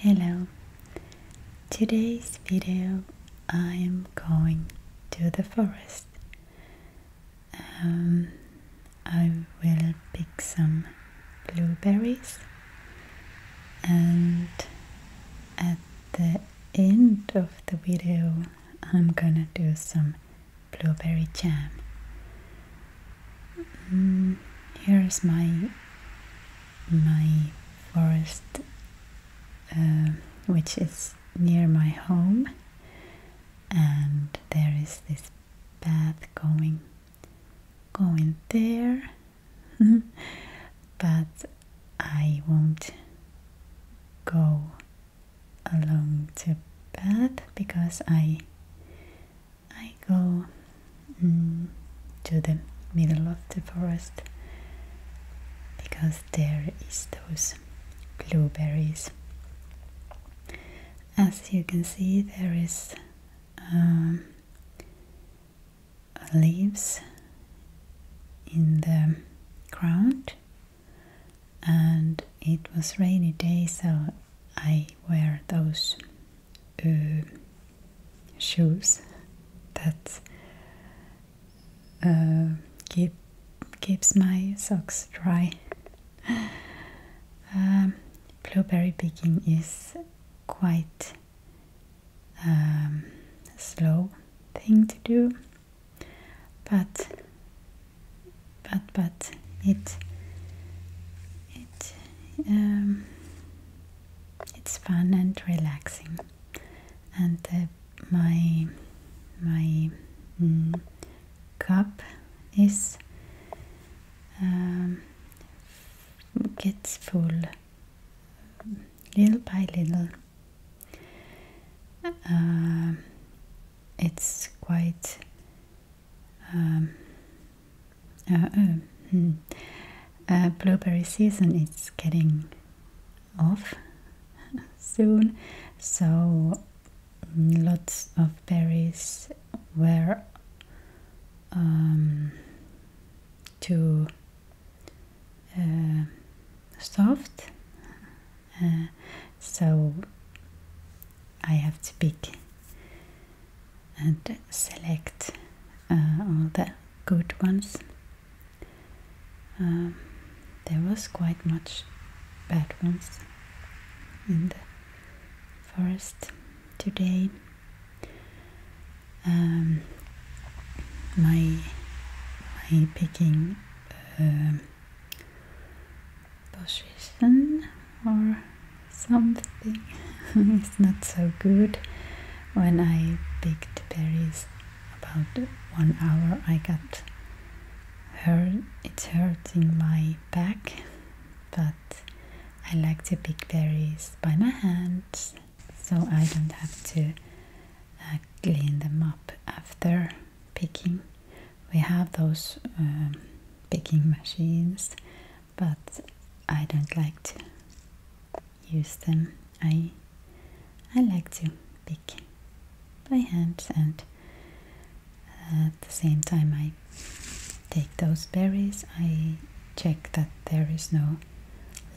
Hello! Today's video I am going to the forest. Um, I will pick some blueberries and at the end of the video I'm gonna do some blueberry jam. Mm, here's my my forest, uh, which is near my home, and there is this path going going there, but I won't go along the path because I I go mm, to the middle of the forest because there is those blueberries. As you can see, there is um, leaves in the ground, and it was rainy day, so I wear those uh, shoes that uh, keep keeps my socks dry. Um, blueberry picking is quite um, slow thing to do, but but but it it um, it's fun and relaxing and my my mm, cup is um, gets full little by little um, it's quite um, uh, oh, hmm. uh, blueberry season is getting off soon, so mm, lots of berries were um, too uh, soft, so I have to pick and select uh, all the good ones. Um, there was quite much bad ones in the forest today. Um, my my picking um, position or something. it's not so good. When I picked berries about one hour, I got hurt. It's hurting my back, but I like to pick berries by my hands, so I don't have to uh, clean them up after picking. We have those um, picking machines but I don't like to use them. I I like to pick by hand and uh, at the same time I take those berries I check that there is no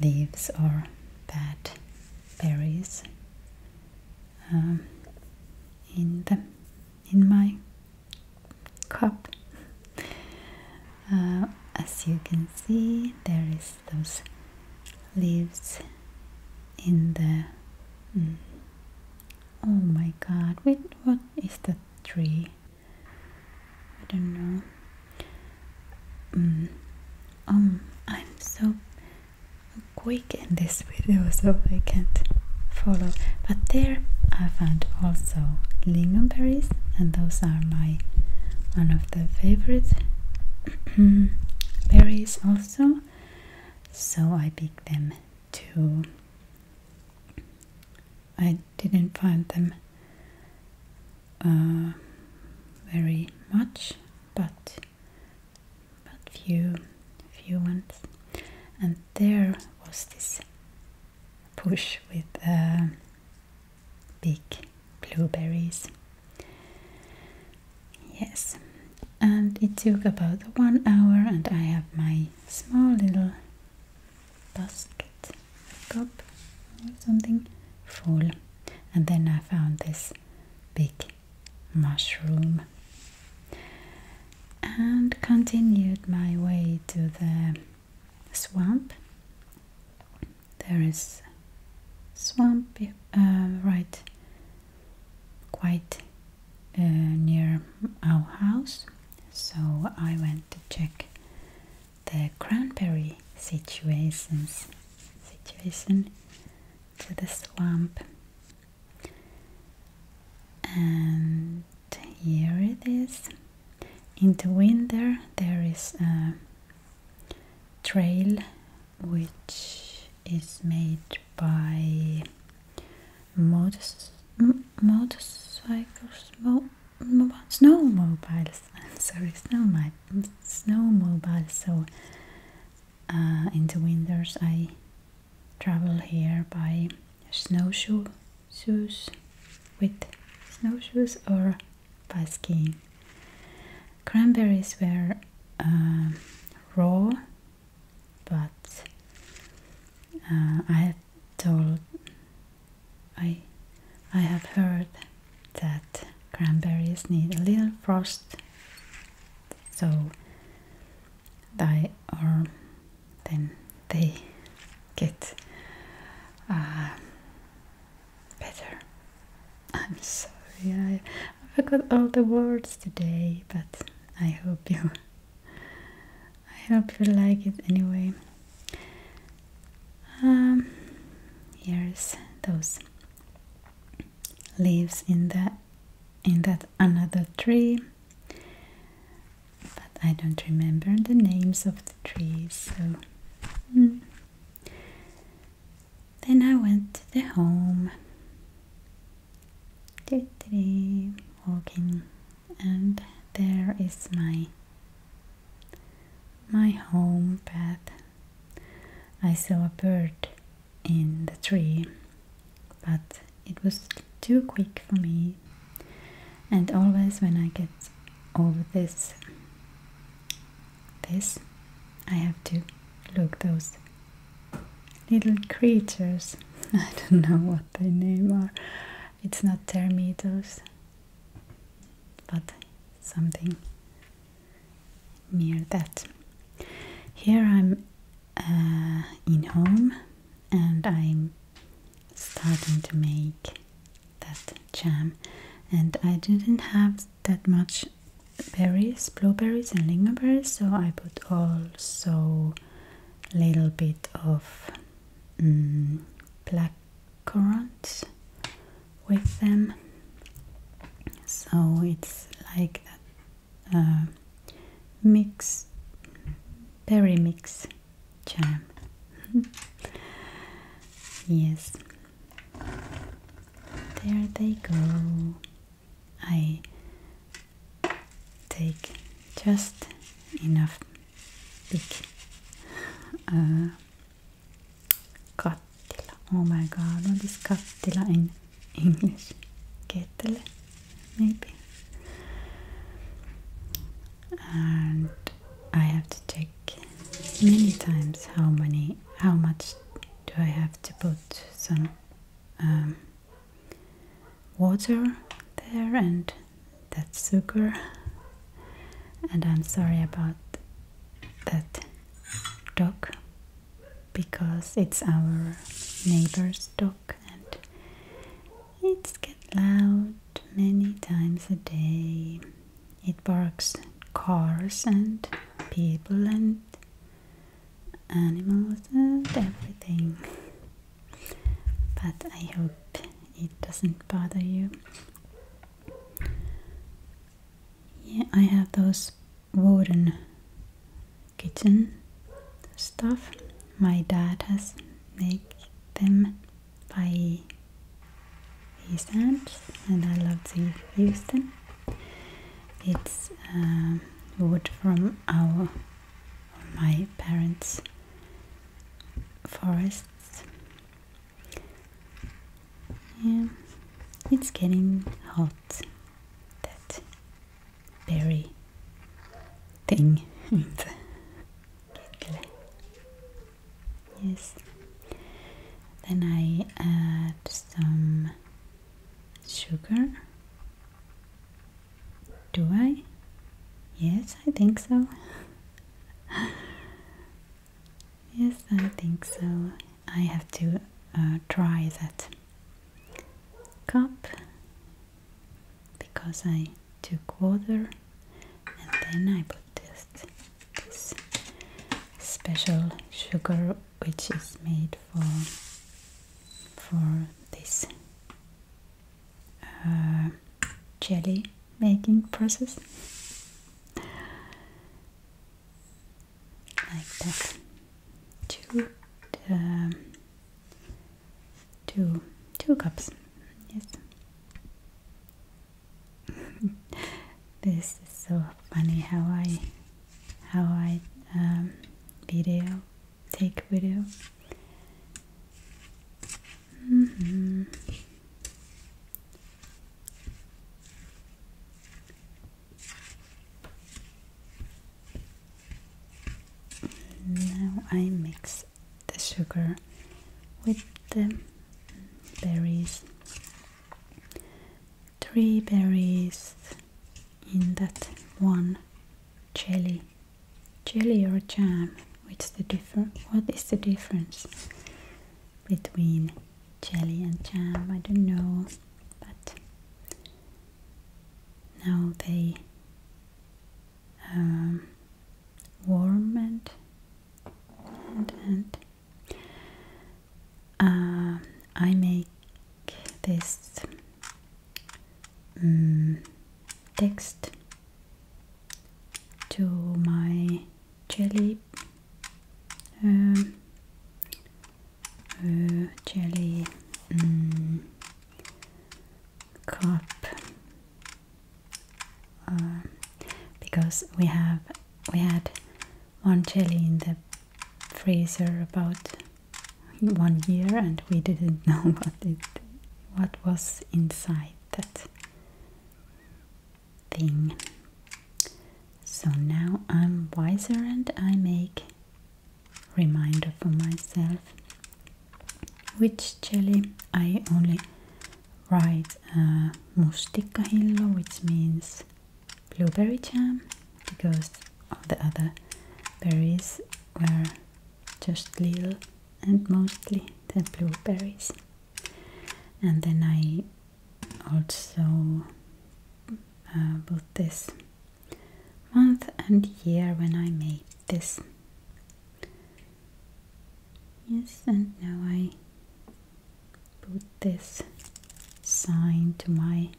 leaves or bad berries um, in the in my cup. Uh, as you can see, there is those leaves in the. Mm, oh my God! Wait, what is the tree? I don't know. Mm, um, I'm so quick in this video, so I can't follow. But there I found also lingonberries, and those are my one of the favorite berries also. So I pick them too. I didn't find them uh, very much, but but few few ones. And there was this push with uh, big blueberries. Yes, and it took about one hour, and I have my small little basket cup or something full. And then I found this big mushroom and continued my way to the swamp. There is swamp uh, right quite uh, near our house, so I went to check the cranberry situations situation to the swamp and here it is in the winter there is a trail which is made by motos, motorcycles mo, snowmobiles sorry snowmobile snowmobile so uh, in the winters I travel here by snowshoe shoes with snowshoes or by Cranberries were um, raw, but uh, I had told I I have heard that cranberries need a little frost, so they are then they get uh, better. I'm sorry, I forgot all the words today, but I hope you, I hope you like it anyway. Um, here's those leaves in that in that another tree but I don't remember the names of the trees, so. Hmm. Then I went to the home, to the walking, and there is my my home path. I saw a bird in the tree, but it was too quick for me. And always when I get over this, this, I have to look those little creatures. I don't know what they name are. It's not termites, but something near that. Here I'm uh, in home and I'm starting to make that jam and I didn't have that much berries, blueberries and lingonberries so I put also little bit of mm, black currants with them so it's like a mix berry mix jam. yes, there they go. I take just enough big uh, kattila. Oh my god, what is kattila in English? Kettle, maybe and I have to check many times how many how much do I have to put some um, water there and that sugar and I'm sorry about that dog because it's our neighbor's dog it and it's loud many times a day. It barks at cars and people and animals and everything. But I hope it doesn't bother you. Yeah, I have those wooden kitchen stuff. My dad has made them by East End and I love the Houston. It's um, wood from our my parents' forests. Yeah, it's getting hot. That berry thing. Yes. Then I add some sugar. Do I? Yes, I think so. yes, I think so. I have to uh, try that cup because I took water and then I put this, special sugar which is made for for this uh, jelly making process like that to um, two two cups yes this is so funny how I how I um, video take video mm-hmm. Now I mix the sugar with the berries. Three berries in that one jelly. Jelly or jam? What's the difference between jelly and jam? I don't know but now they um, warm and and, um, I make this mm, text to my jelly um, uh, jelly mm, cup um, because we have we had one jelly in the freezer about one year and we didn't know what it what was inside that thing. So now I'm wiser and I make reminder for myself which jelly I only write uh, mustikahillo, which means blueberry jam, because of the other berries were just little and mostly the blueberries. And then I also uh, put this month and year when I made this Yes, and now I put this sign to my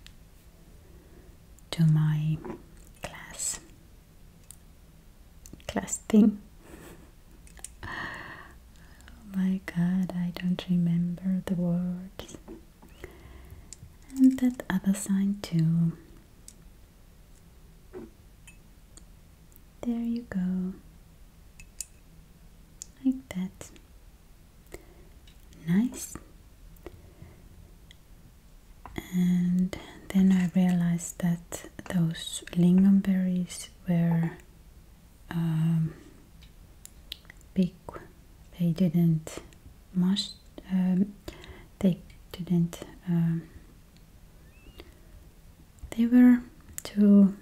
to my class class thing. oh my god, I don't remember the words. And that other sign too. There you go. Like that. Nice. And then I realized that those lingonberries were um, big. They didn't must. Um, they didn't um, they were too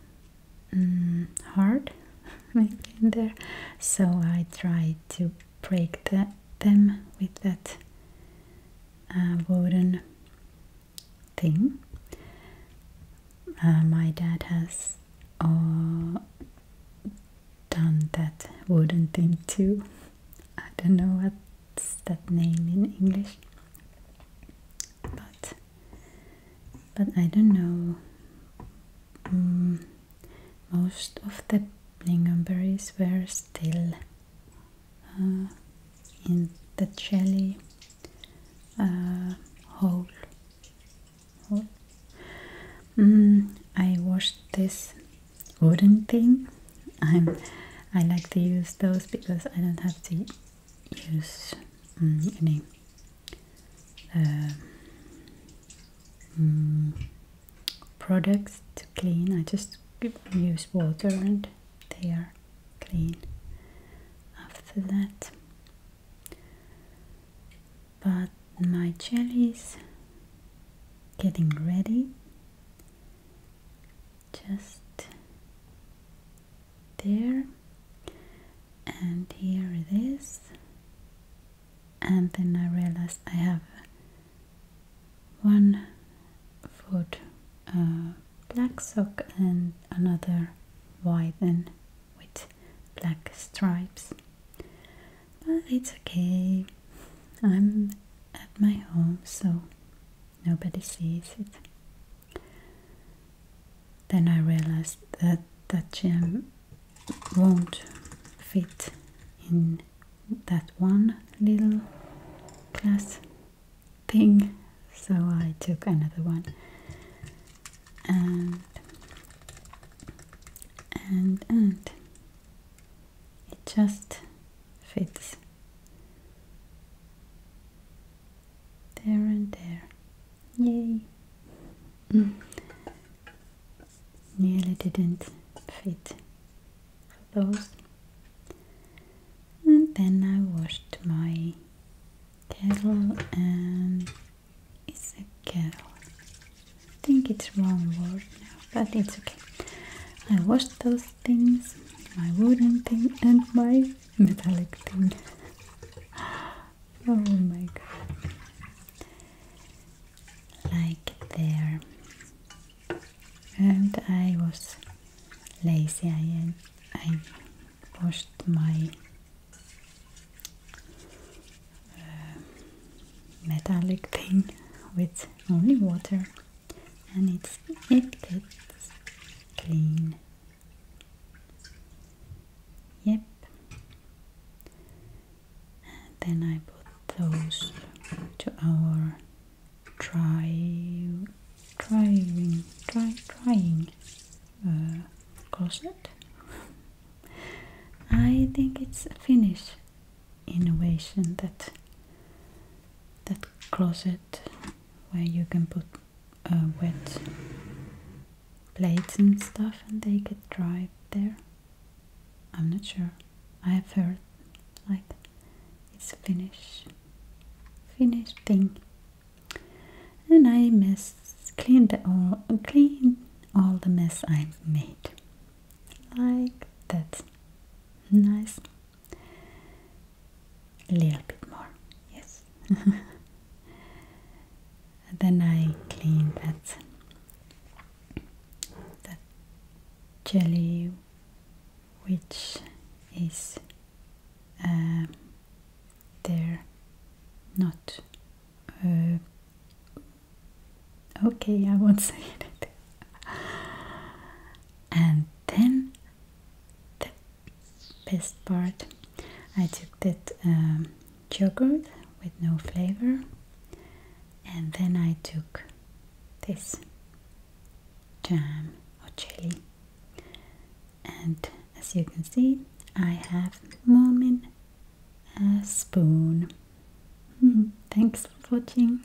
mm, hard, in there, so I tried to break the, them with that uh, wooden thing. Uh, my dad has uh, done that wooden thing too. I don't know what's that name in English, but but I don't know. Mm, most of the lingonberries were still uh, in the jelly uh, hole. Mm, I washed this wooden thing. I'm, I like to use those because I don't have to use mm, any uh, mm, products to clean. I just use water and they are clean after that. But my jelly is getting ready just there and here it is and then I realized I have one foot uh, black sock and another white one with black stripes but it's okay I'm at my home so Nobody sees it. Then I realized that that gem won't fit in that one little glass thing, so I took another one. And and and it just fits there and there. Yay! Mm. Nearly didn't fit for those. And then I washed my kettle and it's a kettle. I think it's wrong word now, but it's okay. I washed those things, my wooden thing and my metallic thing. oh my god. Like there. And I was lazy and I washed my uh, metallic thing with only water and it's it gets clean. Yep. And then I put those to our dry, drying, dry, drying uh, closet. I think it's finished innovation that that closet where you can put uh, wet plates and stuff and they get dried there. I'm not sure. I have heard like it's a Finnish Finnish thing. And I mess cleaned all clean all the mess i made. Like that. Nice a little bit more, yes. then I clean that that jelly, which is um, there, not uh, okay. I won't say it and then the best part I took that um, yogurt with no flavor and then I took this jam or jelly and as you can see I have moment a spoon thanks for watching